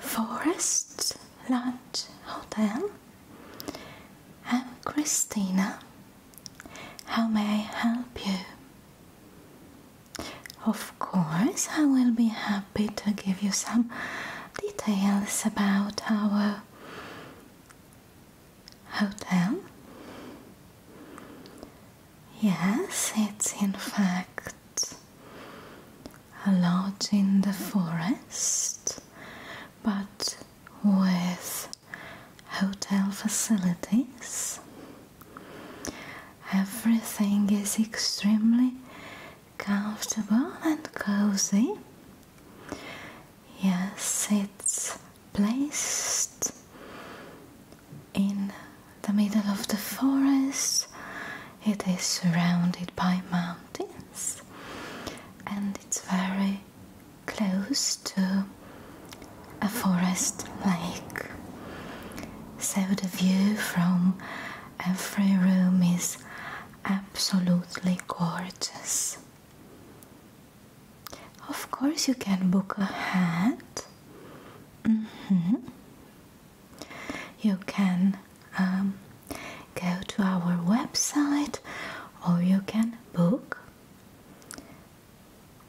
Forest Lodge Hotel. I'm Christina. How may I help you? Of course, I will be happy to give you some details about our hotel. Yes, it's in fact a lodge in the forest, but with hotel facilities. Everything is extremely comfortable and cozy. Yes, it's placed in the middle of the forest. It is surrounded by mountains and it's very close to a forest lake. So the view from every room is absolutely gorgeous. Of course, you can book a hat. Mm-hmm. You can um, go to our website or you can book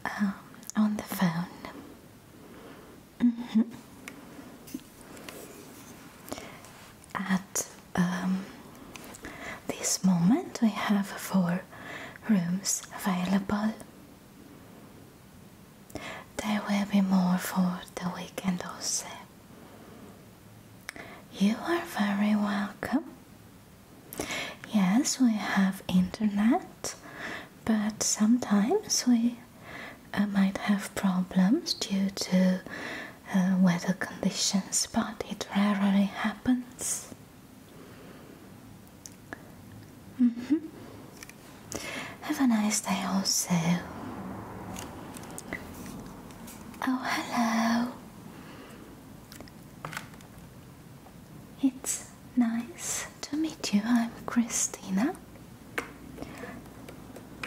um, on the phone. Mm-hmm. At um, this moment, we have four rooms available. There will be more for the weekend also. You are very welcome. Yes, we have internet, but sometimes we uh, might have problems due to uh, weather conditions, but it rarely happens. Mm-hmm. Have a nice day, also. Oh, hello. It's nice to meet you. I'm Christina.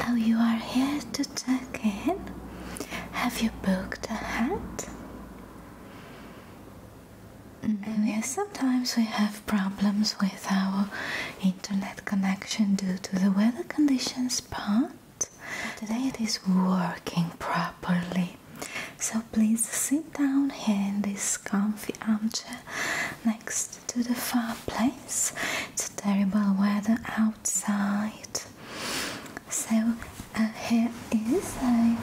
Oh, you are here to check in? Have you booked a hat? Mm-hmm. yes, sometimes we have problems with our internet connection due to the weather conditions, but today it is working properly. So please sit down here in this comfy armchair next to the fireplace. It's terrible weather out outside. So uh, here is a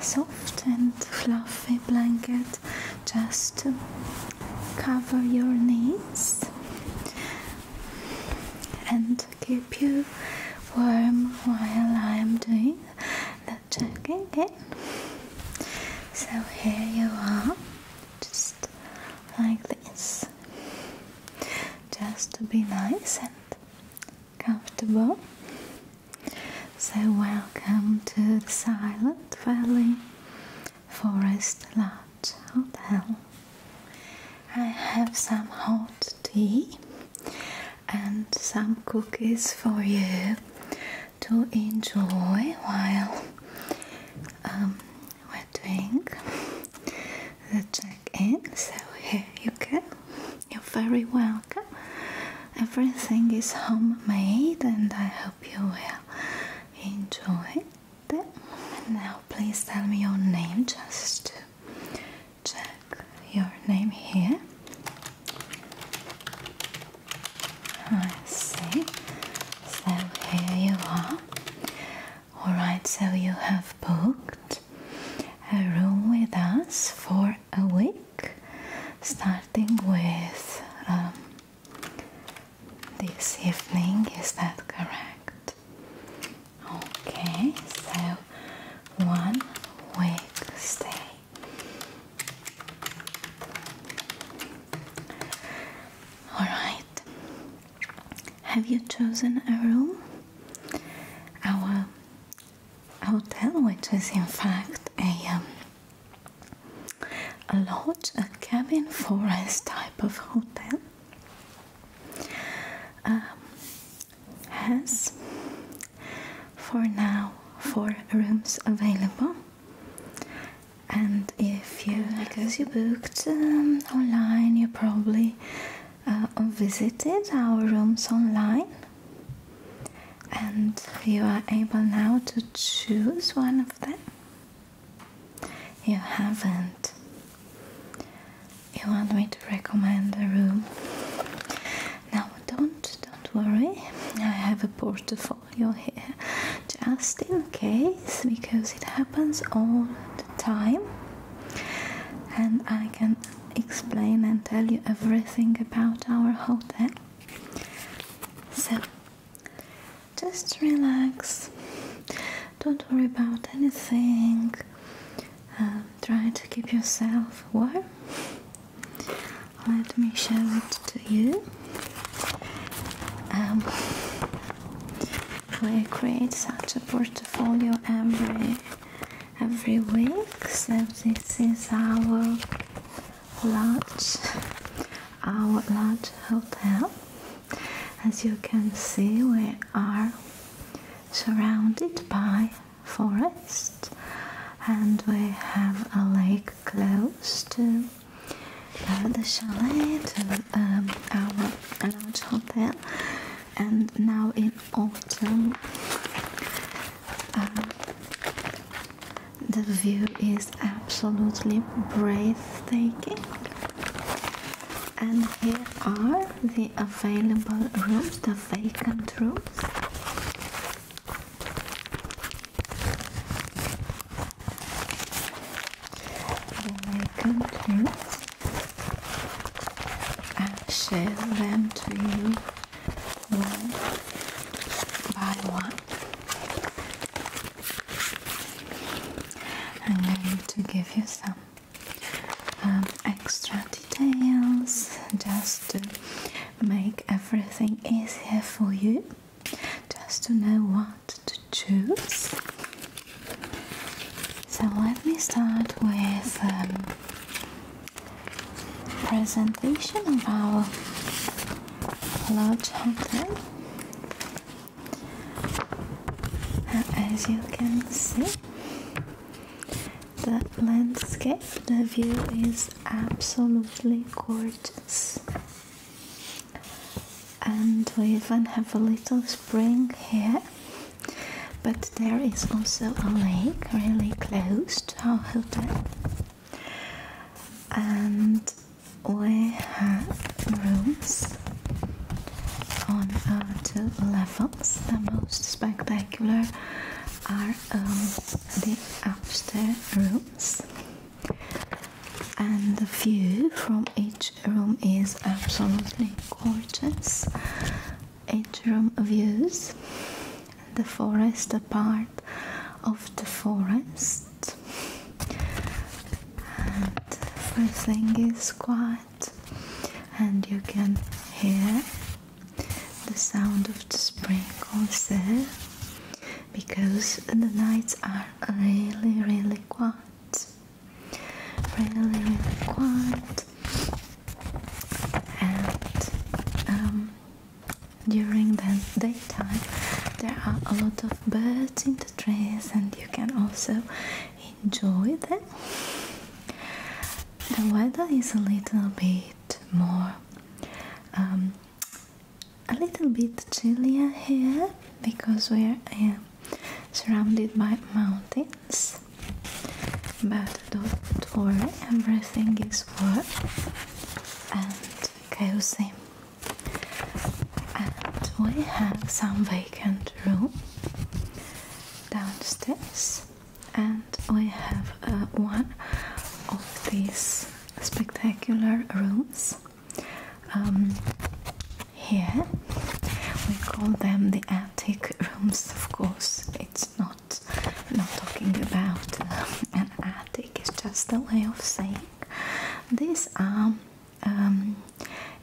soft and fluffy blanket just to cover your knees and keep you warm while I am doing the check again. So here you are, just like just to be nice and comfortable. So, welcome to the Silent Valley Forest Lodge Hotel. I have some hot tea and some cookies for you to enjoy while um, we're doing the check-in. So here you go. You're very welcome. Everything is homemade, and I hope you will enjoy it. Now, please tell me your name just to check your name here. I see. So here you are. Alright, so you have booked a room with us for a week, starting with um, this evening, is that correct? Okay, so one week stay. Alright, have you chosen a room? Our hotel, which is in fact a, um, a lodge, a cabin, forest type of hotel, um, has for now four rooms available and if you because you booked um, online you probably uh, visited our rooms online and you are able now to choose one of them you haven't you want me to recommend a room now don't don't worry i have a portfolio here just in case because it happens all the time and I can explain and tell you everything about our hotel. So just relax, don't worry about anything, um, try to keep yourself warm. Let me show it to you. Um, we create such a portfolio every every week. So this is our large our large hotel. As you can see, we are surrounded by forest and we have a lake close to the chalet to um, our large hotel and now in autumn um, the view is absolutely breathtaking and here are the available rooms, the vacant rooms when they come to, I share them to you one by one. I'm going to give you some um, extra details just to make everything easier for you just to know what to choose. So let me start with a um, presentation of our lodge uh, As you can see, the landscape, the view is absolutely gorgeous and we even have a little spring here but there is also a lake really close to our hotel and we have rooms on our two levels the most spectacular are um, the upstairs rooms and the view from each room is absolutely gorgeous. Each room views the forest, apart of the forest, and everything is quiet, and you can hear the sound of the spring also because the nights are really, really quiet. Really, quiet, And um, during the daytime, there are a lot of birds in the trees, and you can also enjoy them. The weather is a little bit more um, a little bit chillier here because we are surrounded by mountains but don't worry everything is warm and cozy and we have some vacant room downstairs and we have uh, one of these spectacular rooms um, here we call them the attic rooms of course it's not not talking about um, an attic it's just a way of saying these are um,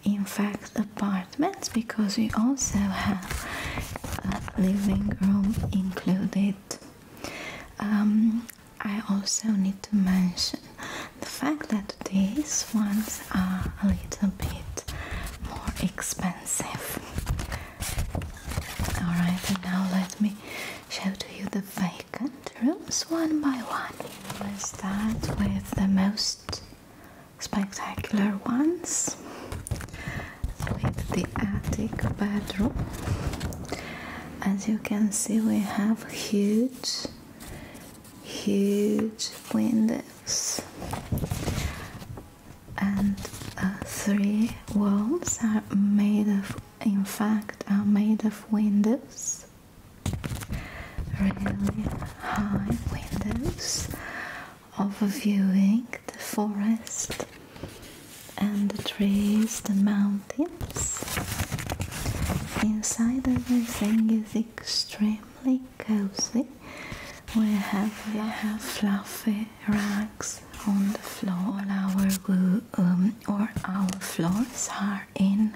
in fact apartments because we also have a living room included um, I also need to mention the fact that these ones are a little bit more expensive. Alright, and now let me show to you the vacant rooms one by one. We'll start with the most spectacular ones with the attic bedroom. As you can see, we have huge huge windows and uh, three walls are made of in fact are made of windows really high windows overlooking the forest and the trees the mountains inside everything is extremely cozy we have we have fluffy rugs on the floor our um, or our floors are in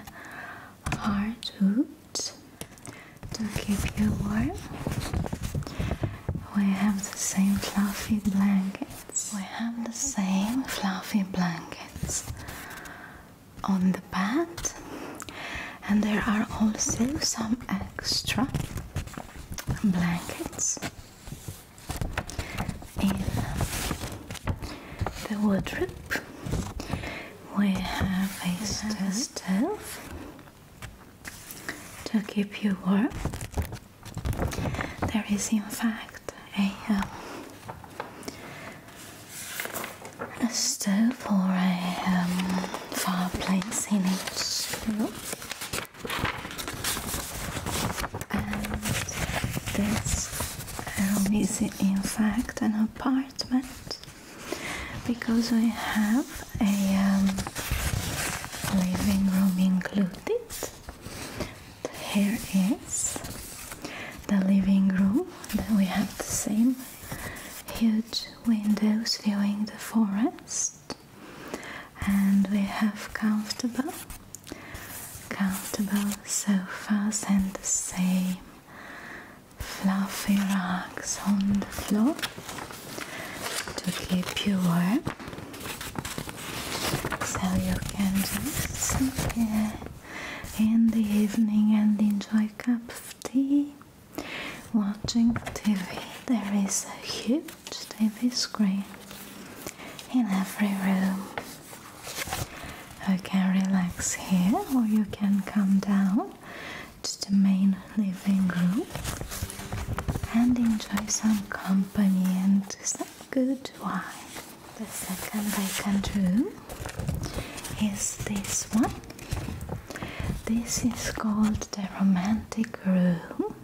hard wood to keep you warm we have the same fluffy blankets we have the same fluffy blankets on the bed, and there are also some extra blankets in the wardrobe we have a stove, stove to keep you warm there is in fact a um, a stove or a um, fireplace in it, And this room is in fact an apartment because we have a um, living room included here is the living room then we have the same huge windows viewing the forest and we have comfortable comfortable sofas and the same fluffy rugs on the floor to keep you warm so you can just sit here in the evening and enjoy a cup of tea watching TV. There is a huge TV screen in every room. You can relax here or you can come down to the main living room and enjoy some company and some good wine the second I can do is this one. This is called the romantic room.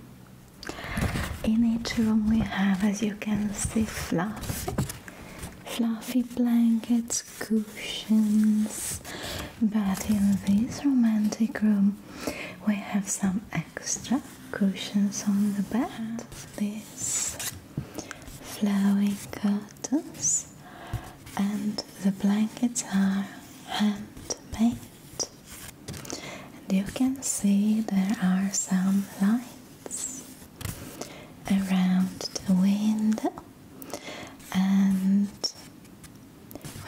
In each room we have, as you can see, fluffy, fluffy blankets, cushions. But in this romantic room we have some extra cushions on the bed. This flowing curtains and the blankets are handmade and you can see there are some lights around the window and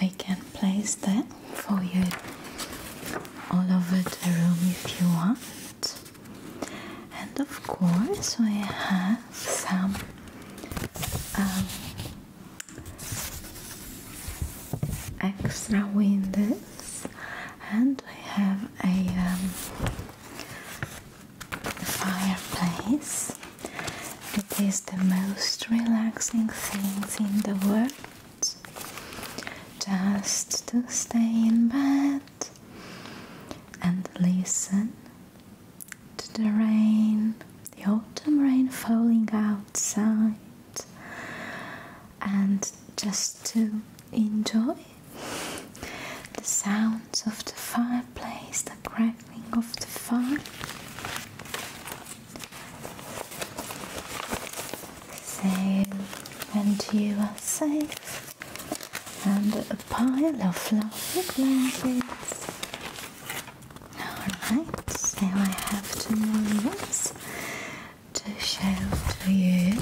we can place them for you all over the room if you want and of course we have some um, extra windows and we have a um, fireplace it is the most relaxing things in the world just to stay in bed and listen to the rain, the autumn rain falling outside, and just to enjoy the sounds of the fireplace, the crackling of the fire. So, and you are safe and a pile of fluffy blankets. Alright, so I have two more to show to you.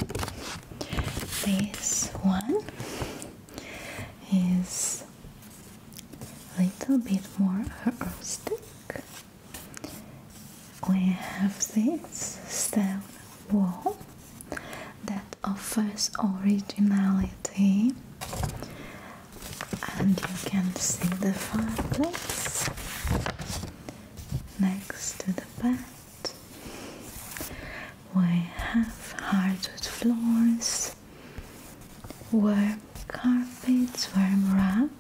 This one is a little bit more rustic. We have this stone wall that offers originality and you can see the fireplace next to the bed we have hardwood floors warm carpets warm wrap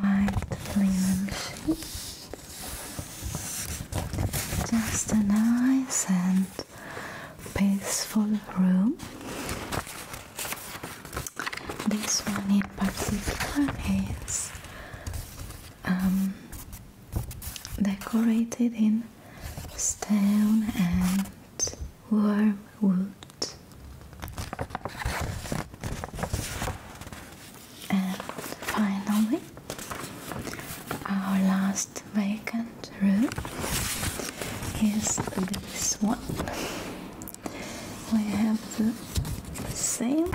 white linen sheets just a nice and peaceful room. This one in particular is um, decorated in stone and warm wood. And finally, our last vacant room is this one. We have the same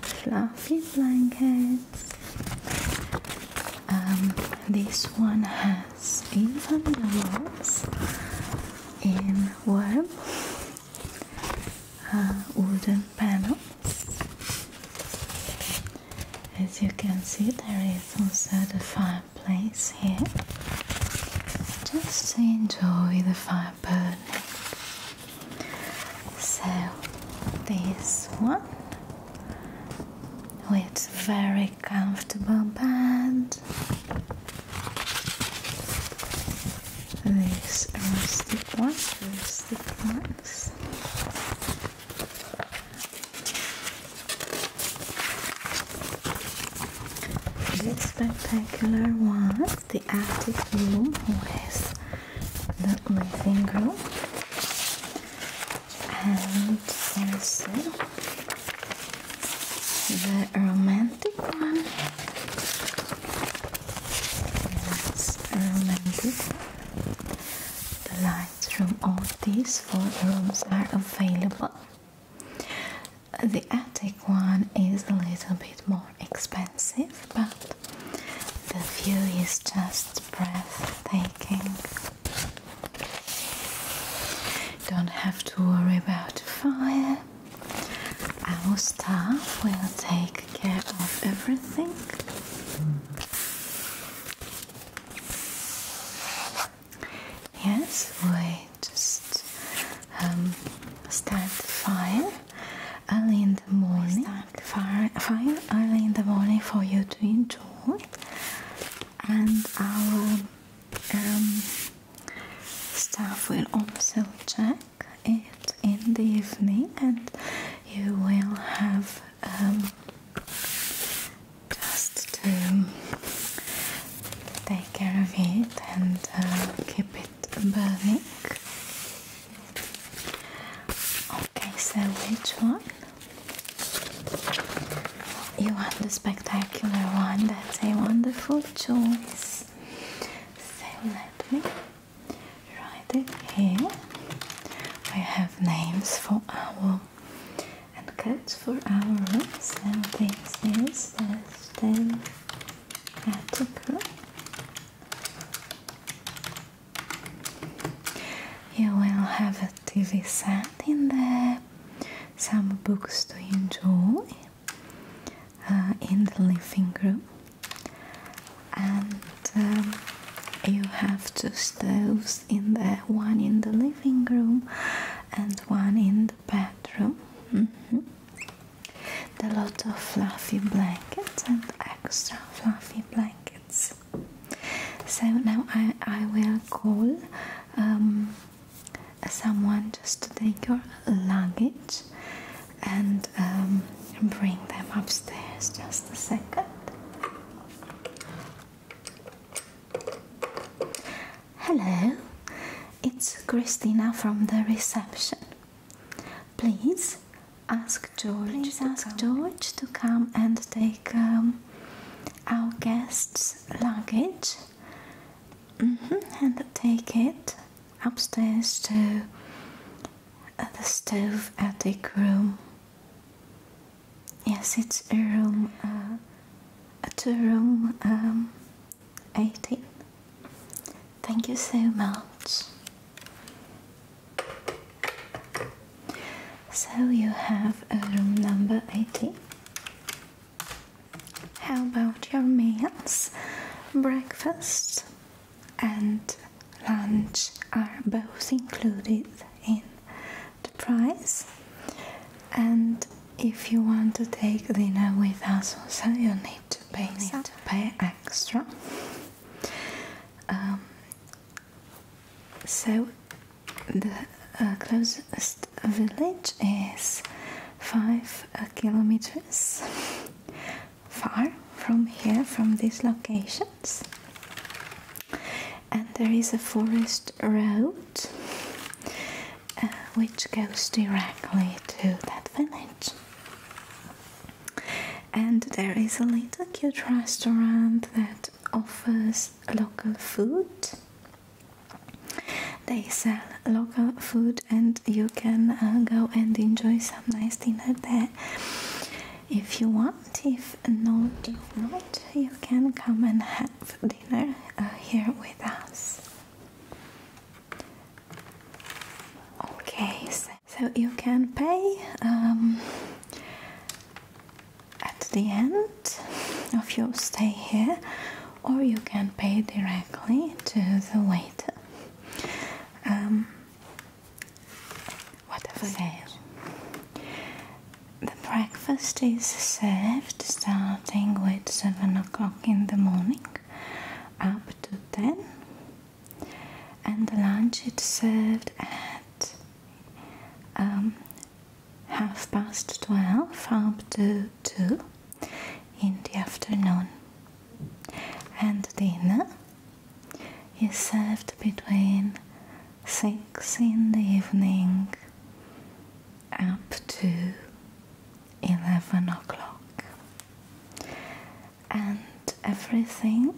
fluffy blankets. Um, this one has even the walls in warm uh, wooden panels. As you can see, there is also the fireplace here. Just to enjoy the fire burning. So, this one with very comfortable bed. This is ones, rustic This spectacular one, the attic room, with the living room, and also the romantic one the lights from all these four rooms are available. The attic one is a little bit more expensive, but the view is just breathtaking. Don't have to worry about fire. Our staff will take care of everything. Yes, we just um, start the fire early in the morning. Start fire, fire early in the morning for you to enjoy, and our um, staff will also check it in the evening and you will have um, just to take care of it and uh, keep it burning okay so which one? you want the spectacular one that's a wonderful choice so let me Right here we have names for our and codes for our rooms and things is the You will have a TV set in there, some books to enjoy uh, in the living room and um, you have two stoves in there one in the living room and one in the bedroom mm -hmm. a lot of fluffy blankets and extra fluffy blankets so now i, I will call um, someone just to take your luggage and um, bring them upstairs just a second. Hello, it's Christina from the reception. Please ask George. Please ask George to come and take um, our guest's luggage mm-hmm, and take it upstairs to the stove attic room. Yes, it's a room, uh, a two room um, 18. Thank you so much. So you have a room number 18. How about your meals? Breakfast, and lunch are both included in the price and if you want to take dinner with us also you need to pay, extra um, so the uh, closest village is 5 kilometers far from here, from these locations. And there is a forest road uh, which goes directly to that village. And there is a little cute restaurant that offers local food. They sell local food and you can uh, go and enjoy some nice dinner there if you want if not if you can come and have dinner uh, here with us okay so, you can pay um, at the end of your stay here or you can pay directly to the waiter um, whatever there. The breakfast is served starting with 7 o'clock in the morning up to 10 and the lunch is served at um, half past 12 up to 2 in the afternoon and dinner is served between 6 in the evening up to 11 o'clock and everything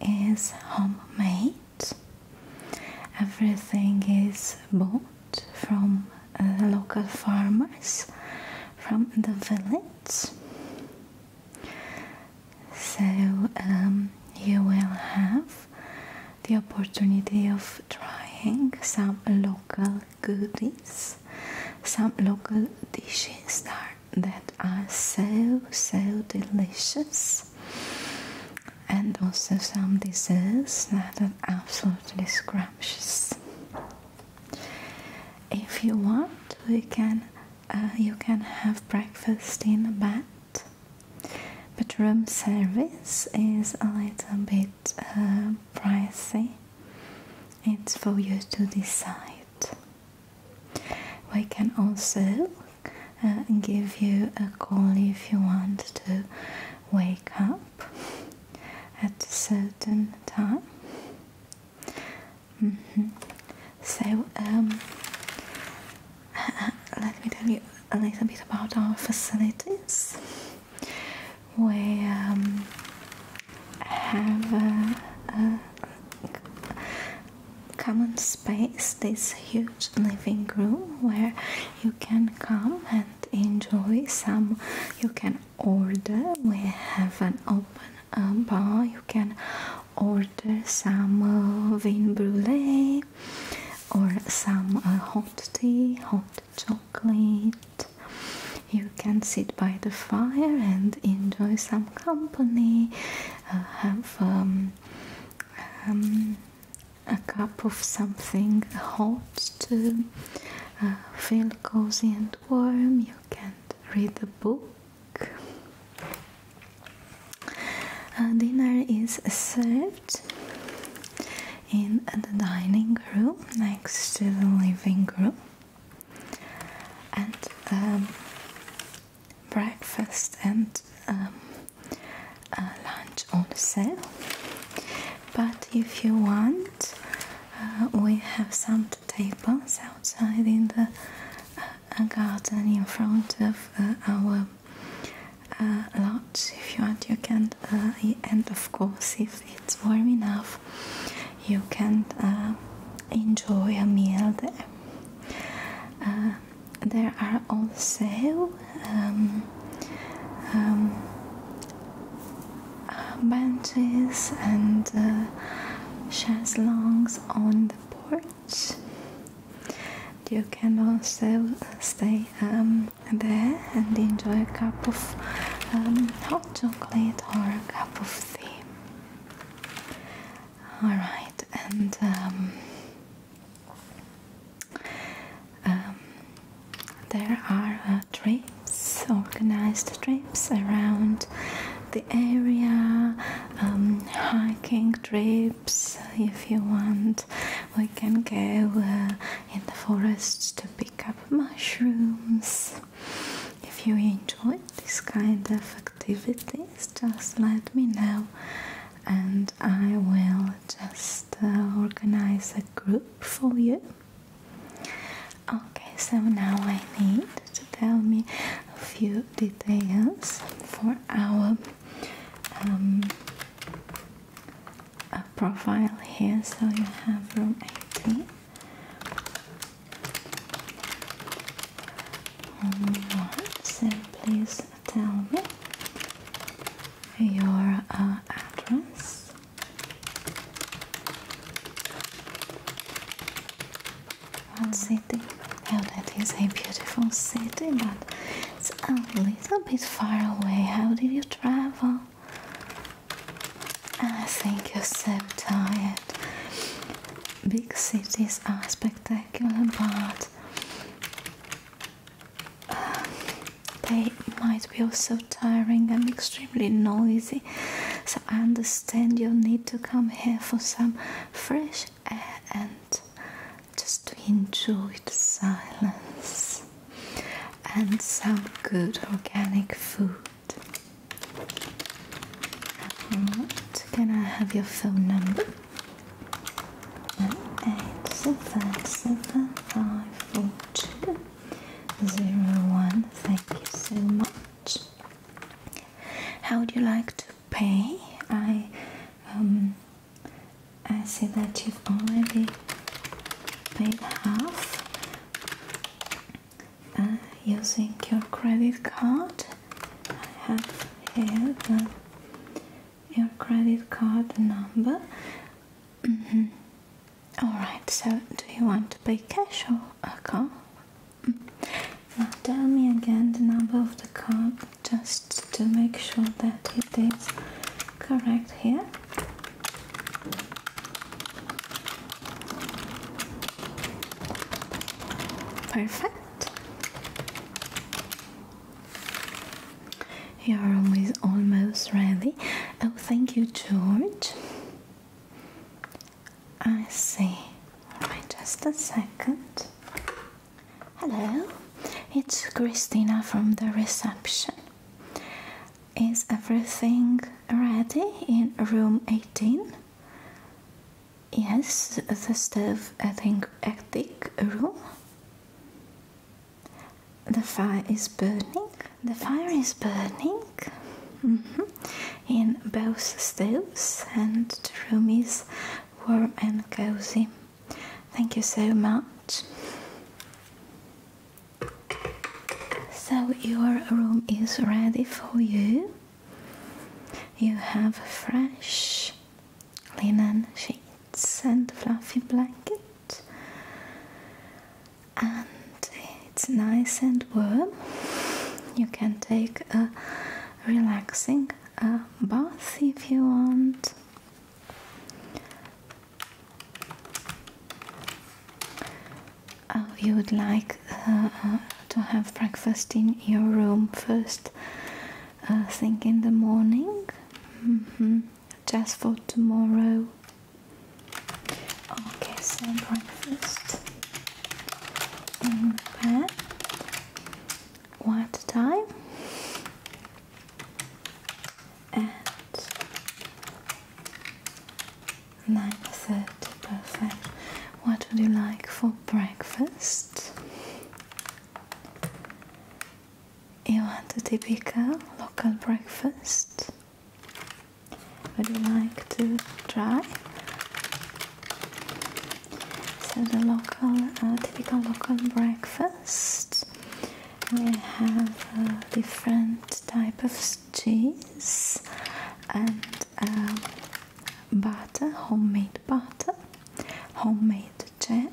is homemade everything is bought from uh, local farmers from the village so um, you will have the opportunity of trying some local goodies some local dishes that, that are so so delicious and also some desserts that are absolutely scrumptious if you want, we can uh, you can have breakfast in a bed. But room service is a little bit uh, pricey. It's for you to decide. We can also uh, give you a call if you want to wake up at a certain time. -hmm. So um, let me tell you a little bit about our facilities. We um, have a common space, this huge living room where you can come and enjoy some. You can order we have an open uh, bar you can order some uh, vin brulee or some uh, hot tea hot chocolate you can sit by the fire and enjoy some company uh, have um, um, a cup of something hot to feel cozy and warm can read the book. Uh, dinner is served in the dining room next to the living room, and um, breakfast and um, uh, lunch on sale. But if you want, uh, we have some tables outside in the uh, garden in front of uh, our uh, lodge. If you want, you can, uh, and of course, if it's warm enough, you can enjoy a meal there. there are also um, um, benches uh, and uh, chaise longues on the porch. You can also stay um, there and enjoy a cup of um, hot chocolate or a cup of tea. Alright, and um, there are uh, trips, organized trips around the area, um, hiking trips if you want. We can go uh, in the forests to pick up mushrooms. If you enjoy this kind of activities, just let me know and I will just uh, organize a group for you Okay, so now I need to tell me a few details for our um, profile here. So you have room 18. Only one. So please tell me your uh, address. One city. Well, that is a beautiful city, but it's a little bit far away. How did you travel? I ah, think you're so tired. Big cities are spectacular, but um, they might be also tiring and extremely noisy. So I understand you need to come here for some fresh air and just to enjoy the silence and some good organic food. can I have your phone number? 8 zero one. Thank you so much. How would you like to pay? I um, I see that you've already paid half uh, using your credit card. I have here your credit card number. Mm-hmm. Alright, so do you want to pay cash or a card? Mm. Now tell me again the number of the card just to make sure that it is correct here. Perfect. You are always almost ready. Oh, thank you, George. I see. Right, just a second. Hello, it's Christina from the reception. Is everything ready in room 18? Yes, the stove attic, attic room. The fire is burning. The fire is burning mm-hmm, in both stoves, and the room is warm and cozy. Thank you so much. So, your room is ready for you. You have fresh linen sheets and fluffy blanket and it's nice and warm. You can take a relaxing uh, bath if you want. Oh, you would like uh, to have breakfast in your room first I uh, think in the morning? Mm-hmm. Just for tomorrow. Okay, so breakfast in What time? At nine thirty. Perfect. What would you like for breakfast? You want a typical local breakfast? Would you like to try? So the local, uh, typical local breakfast. We have different type of cheese and uh, butter, homemade butter, homemade jam,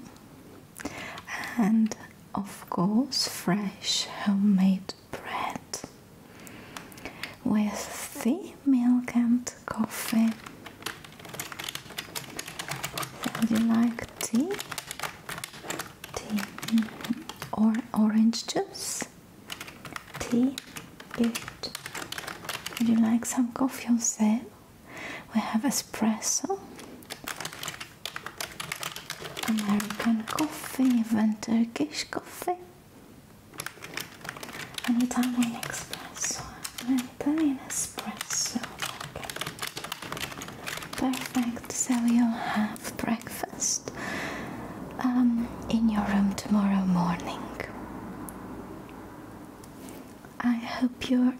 and of course fresh homemade bread with the milk and coffee. would you like tea? Tea mm-hmm. or orange juice? Tea? Good. Would you like some coffee yourself? We have espresso American coffee, even Turkish coffee. An Italian espresso, an Italian espresso. Okay. Perfect, so you'll have breakfast um, in your room tomorrow morning. I hope you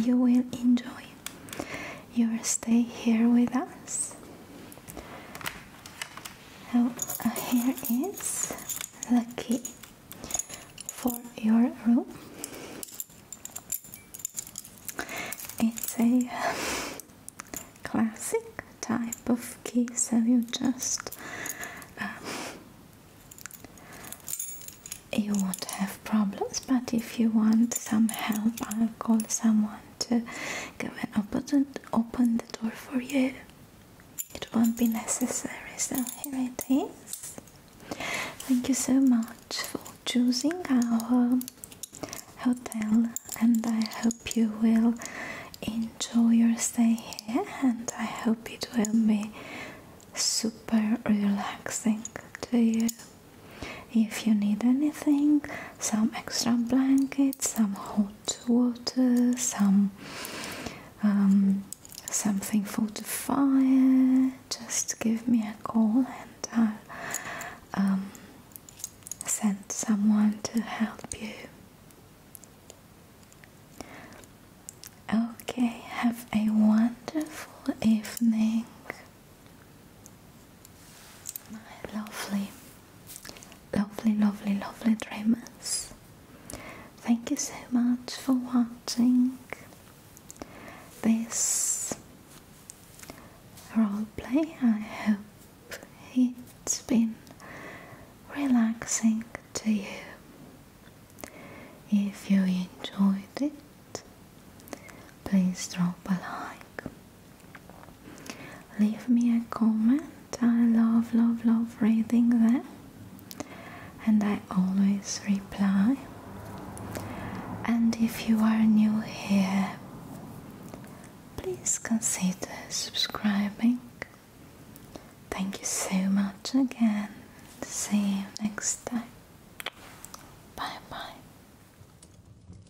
you will enjoy You'll stay here with us. So uh, here is the key for your room. It's a classic type of key, so you just um, you won't have problems. But if you want some help, I'll call someone to go and open, open the door for you. It won't be necessary, so here it is. Thank you so much for choosing our hotel, and I hope you will enjoy your stay here. And I hope it will be super relaxing to you. If you need anything, some extra blankets, some hot water, some um, something for the fire, just give me a call and I'll um, send someone to help you. Okay, have a wonderful evening. Lovely, lovely, lovely, lovely dreamers. Thank you so much for watching this role play. I hope it's been relaxing to you. If you enjoyed it, please drop a like Leave me a comment. I love, love, love reading that, and I always reply. And if you are new here, please consider subscribing. Thank you so much again. See you next time. Bye bye.